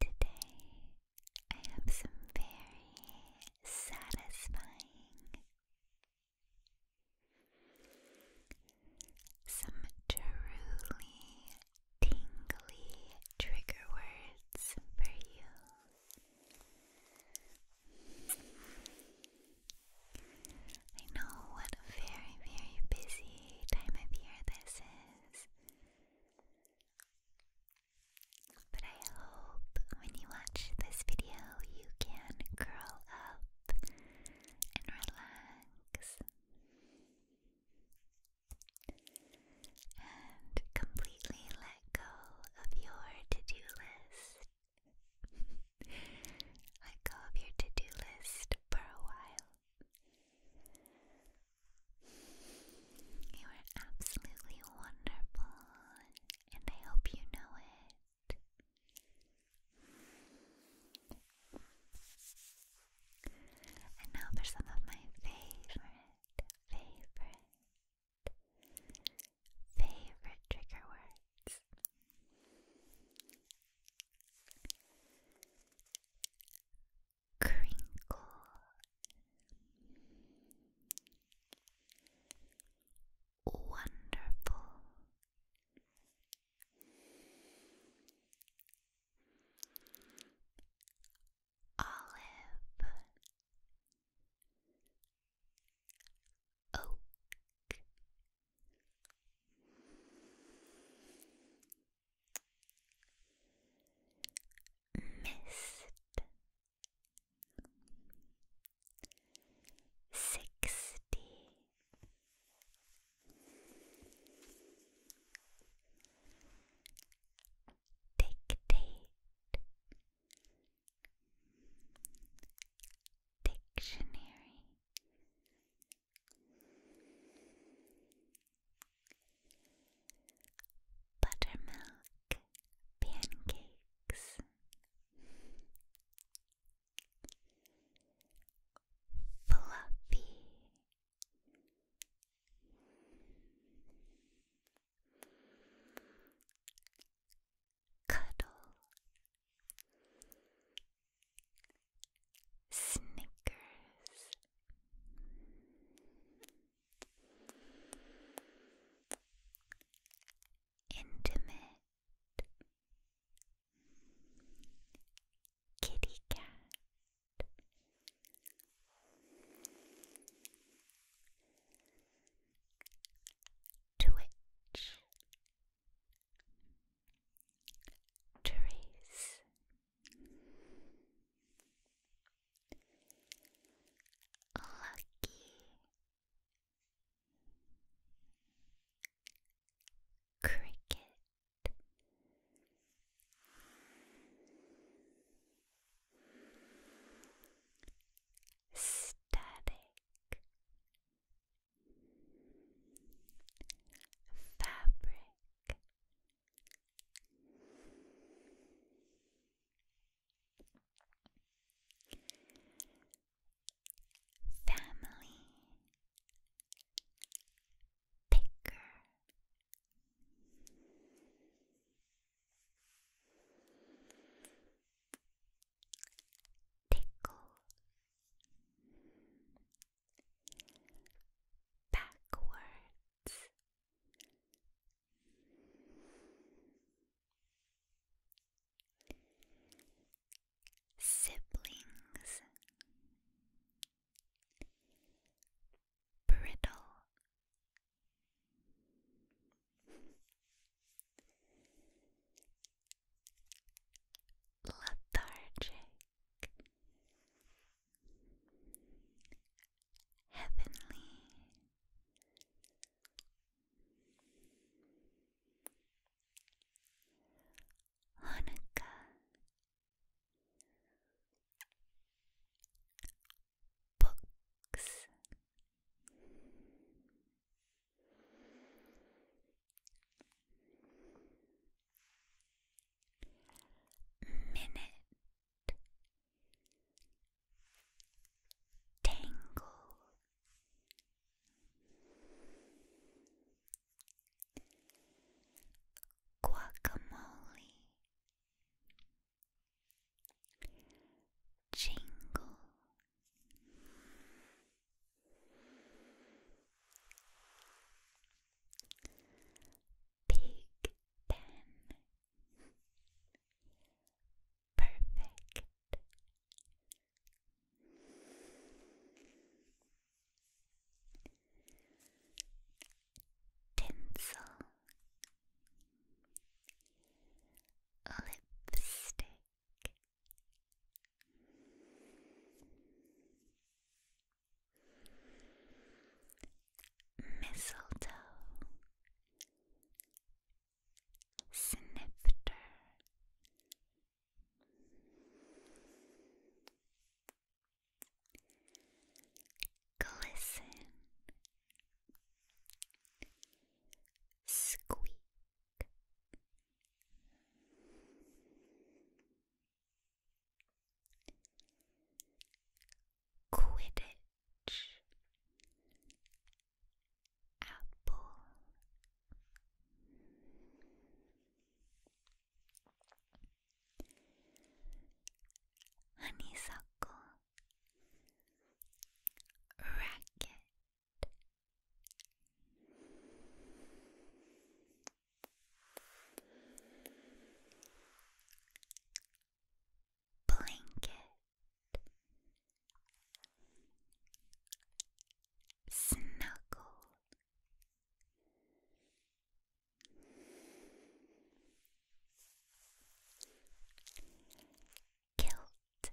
Today, I have some very satisfying, some truly tingly trigger words for you. I know what a very, very busy time of year this is. But I hope when you watch this video, you can curl up and relax and completely let go of your to do list. Let go of your to do list for a while. You are absolutely wonderful, and I hope you know it. And now for some of my favorite, favorite, favorite trigger words crinkle wonderful olive oak Mist sixty dictionary Buttermilk pancakes, fluffy, cuddle, Snickers. Intimate. Kitty cat. Twitch. Therese Lucky Cricket Static fabric family picker tickle backwards siblings brittle lethargic, heavenly. Hanukkah Books Minute Tangle Guacamole Jingle Big Ben. Perfect. Tinsel. Lipstick. Mistletoe Snifter Glisten Squeak Quidditch Apple Honeysuckle Racket Blanket Snuggle Kilt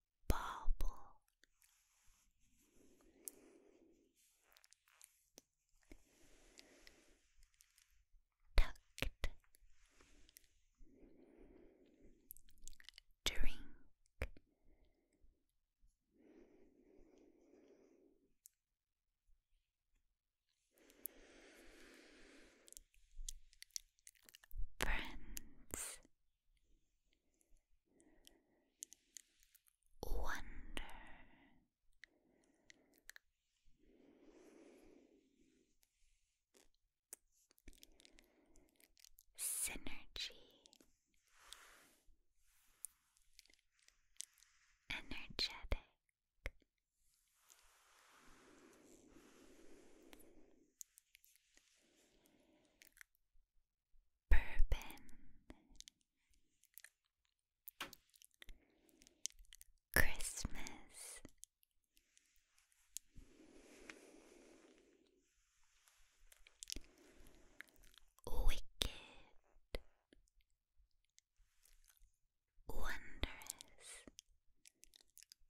bubble. Tucked. Drink. Friends. Wonder. Synergy, energetic, Bourbon Christmas Wicked Wondrous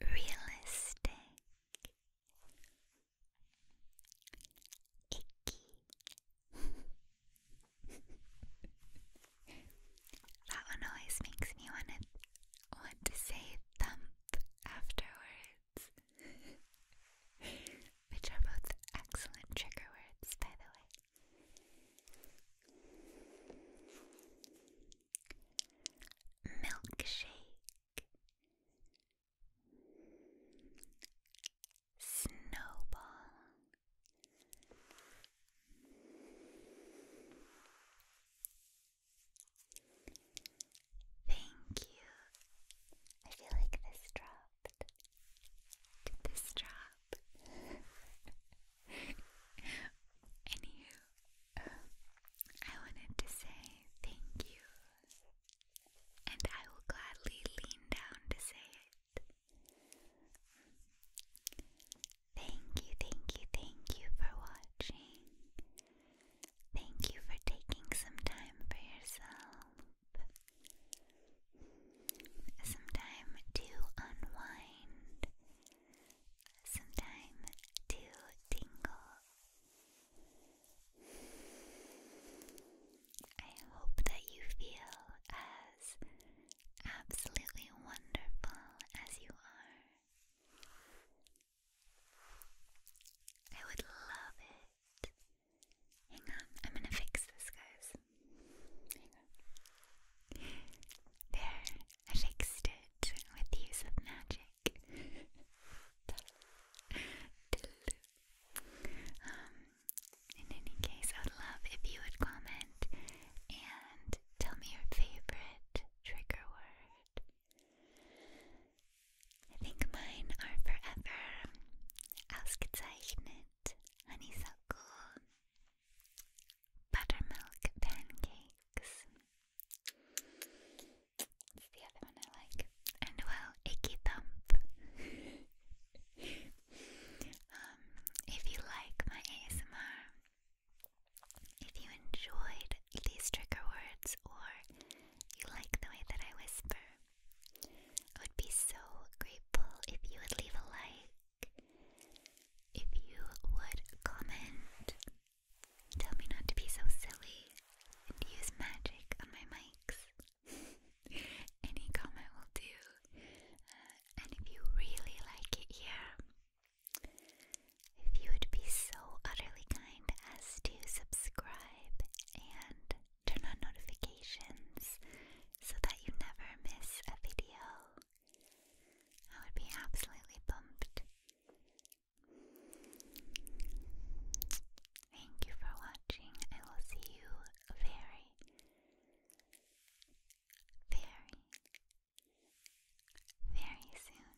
Realistic That one always makes me want to want to say thump afterwards. Which are both excellent trigger words, by the way. Milkshake Snowball Thank you. I feel like this dropped. Did this drop? Anywho, um, I wanted to say thank you, and I will gladly lean down to say it. Thank you, thank you, thank you for watching. Thank you for taking some time for yourself some time to unwind, some time to tingle. I hope that you feel as absolutely wonderful as you are. I would love it. Hang on, I'm gonna fix this, guys. Hang fixed it with use of magic. Um, in any case, I would love if you would comment and tell me your favorite trigger word. I think mine are forever. Ausgezeichnet, honeysuckle, buttermilk pancakes. It's the other one I like. And well, icky um, if you like my ASMR, if you enjoyed these trigger words or you like the way that I whisper, I would be so grateful if you would leave a like if you would comment, tell me not to be so silly and use magic on my mics. Any comment will do. Uh, and if you really like it here, if you would be so utterly kind as to subscribe and turn on notifications so that you never miss a video. I would be absolutely pumped. Thank you for watching. I will see you very, very, very soon.